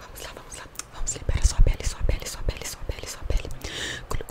Vamos lá, vamos lá. Vamos liberar sua pele, sua pele, sua pele, sua pele, sua pele. Vamos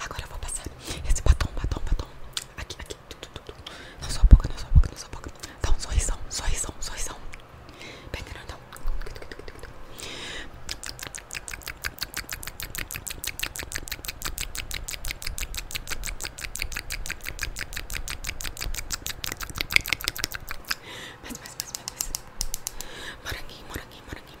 Agora eu vou passar esse batom, batom, batom. Aqui, aqui. Na sua boca, na sua boca, na sua boca. Dá um sorrisão, sorrisão, sorrisão. Bem grandão. Mais, mais, mais, mais, mais. Moranguinho, moranguinho, moranguinho,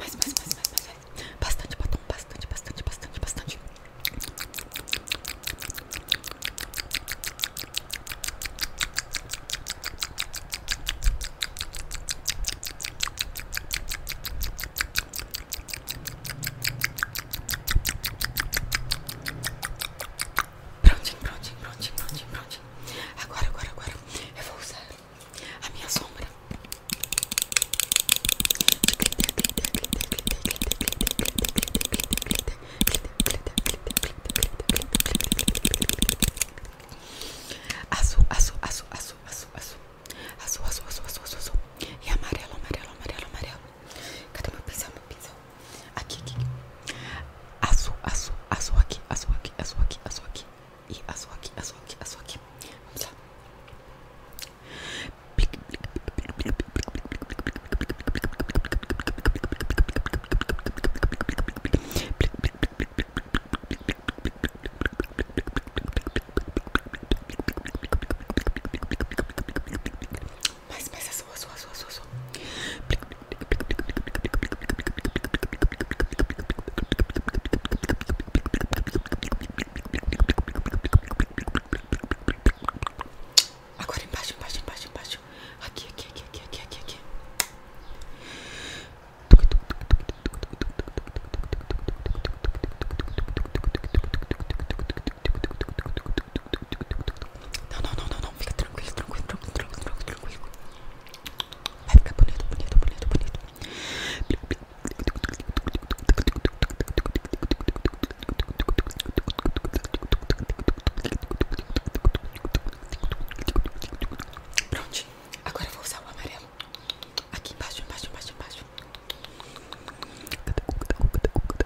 Mais, mais, mais, mais, mais, mais. Bastante batom, bastante, bastante, bastante, bastante. Prontinho, prontinho, prontinho, prontinho, prontinho. Agora, agora, agora eu vou usar a minha sombra. Azul, azul, azul, azul, azul, azul. Azul, azul, azul, azul, azul, azul. E amarelo, amarelo, amarelo, amarelo. Cadê meu pincel, meu pincel? Aqui, aqui. Azul, azul, azul aqui, azul aqui, azul aqui, azul aqui. E azul aqui, azul aqui, azul aqui. Vamos lá. Mas, mas, é sua, sua, sua, sua, sua. Agora embaixo, embaixo, embaixo, embaixo. Aqui, aqui, aqui, aqui, aqui, aqui, aqui. Não, não, não, não, não. Fica tranquilo, tranquilo, tranquilo, tranquilo, tranquilo. Vai ficar bonito, bonito, bonito, bonito. Pronto, agora vou usar o amarelo Aqui embaixo, embaixo, embaixo, embaixo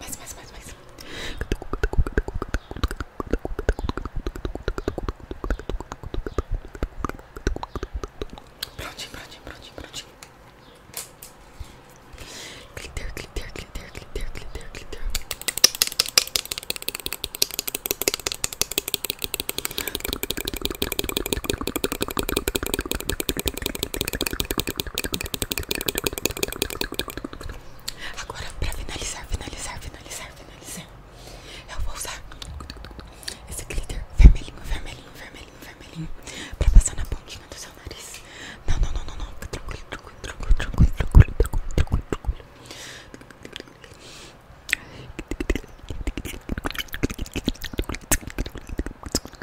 Mais, mais, mais, mais. Prontinho, prontinho, prontinho, prontinho. Glitter, glitter, glitter, glitter, glitter, glitter. Agora, pra finalizar, finalizar, finalizar, finalizar, eu vou usar esse glitter vermelhinho, vermelhinho, vermelhinho, vermelhinho, pra passar na pontinha do seu nariz. Não, não, não, não, não. tranquilo, tranquilo, tranquilo, tranquilo, tranquilo, tranquilo.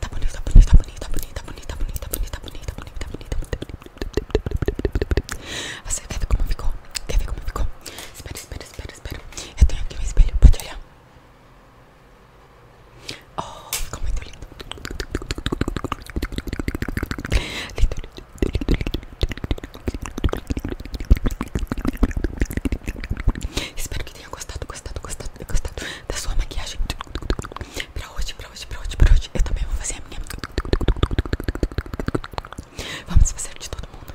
Tá bonita, tá bonita, tá bonita, bonita, bonita, bonita, bonita, bonita, bonita, bonita. Você quer ver como ficou? Quer ver como ficou? Espera, espera, espera, espera. Eu tenho aqui um espelho, pode olhar. Oh, ficou muito lindo. Lindo, lindo, lindo, lindo. Espero que gostado, gostado, gostado, gostado da sua maquiagem Pra hoje, pra hoje, pra hoje, pra hoje Eu também vou fazer a minha Vamos fazer de todo mundo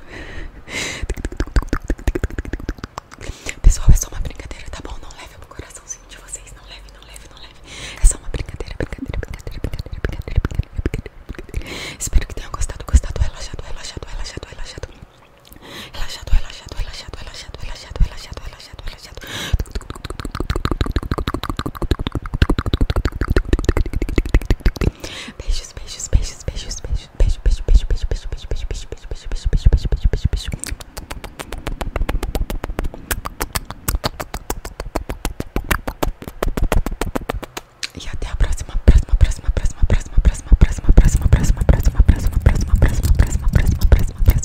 Pessoal, é só uma brincadeira, tá bom? Não leve pro coraçãozinho de vocês Não leve, não leve, não leve É só uma brincadeira, brincadeira, brincadeira, brincadeira, brincadeira, brincadeira, brincadeira. Espero que tenham gostado, gostado Relaxado, relaxado, relaxado, relaxado Relaxado, relaxado, relaxado, relaxado, relaxado, relaxado, relaxado, relaxado. Beijos, beijos, beijos, beijos, beijos, beijo, beijo, beijo, beijo, beijo, beijo, beijo, beijo, beijo, beijo, beijo, beijo, beijo, beijo, beijo, beijo. E até a próxima, próxima, próxima, próxima, próxima, próxima, próxima, próxima, próxima, próxima, próxima, próxima, próxima, próxima, próxima, próxima, próxima, próxima.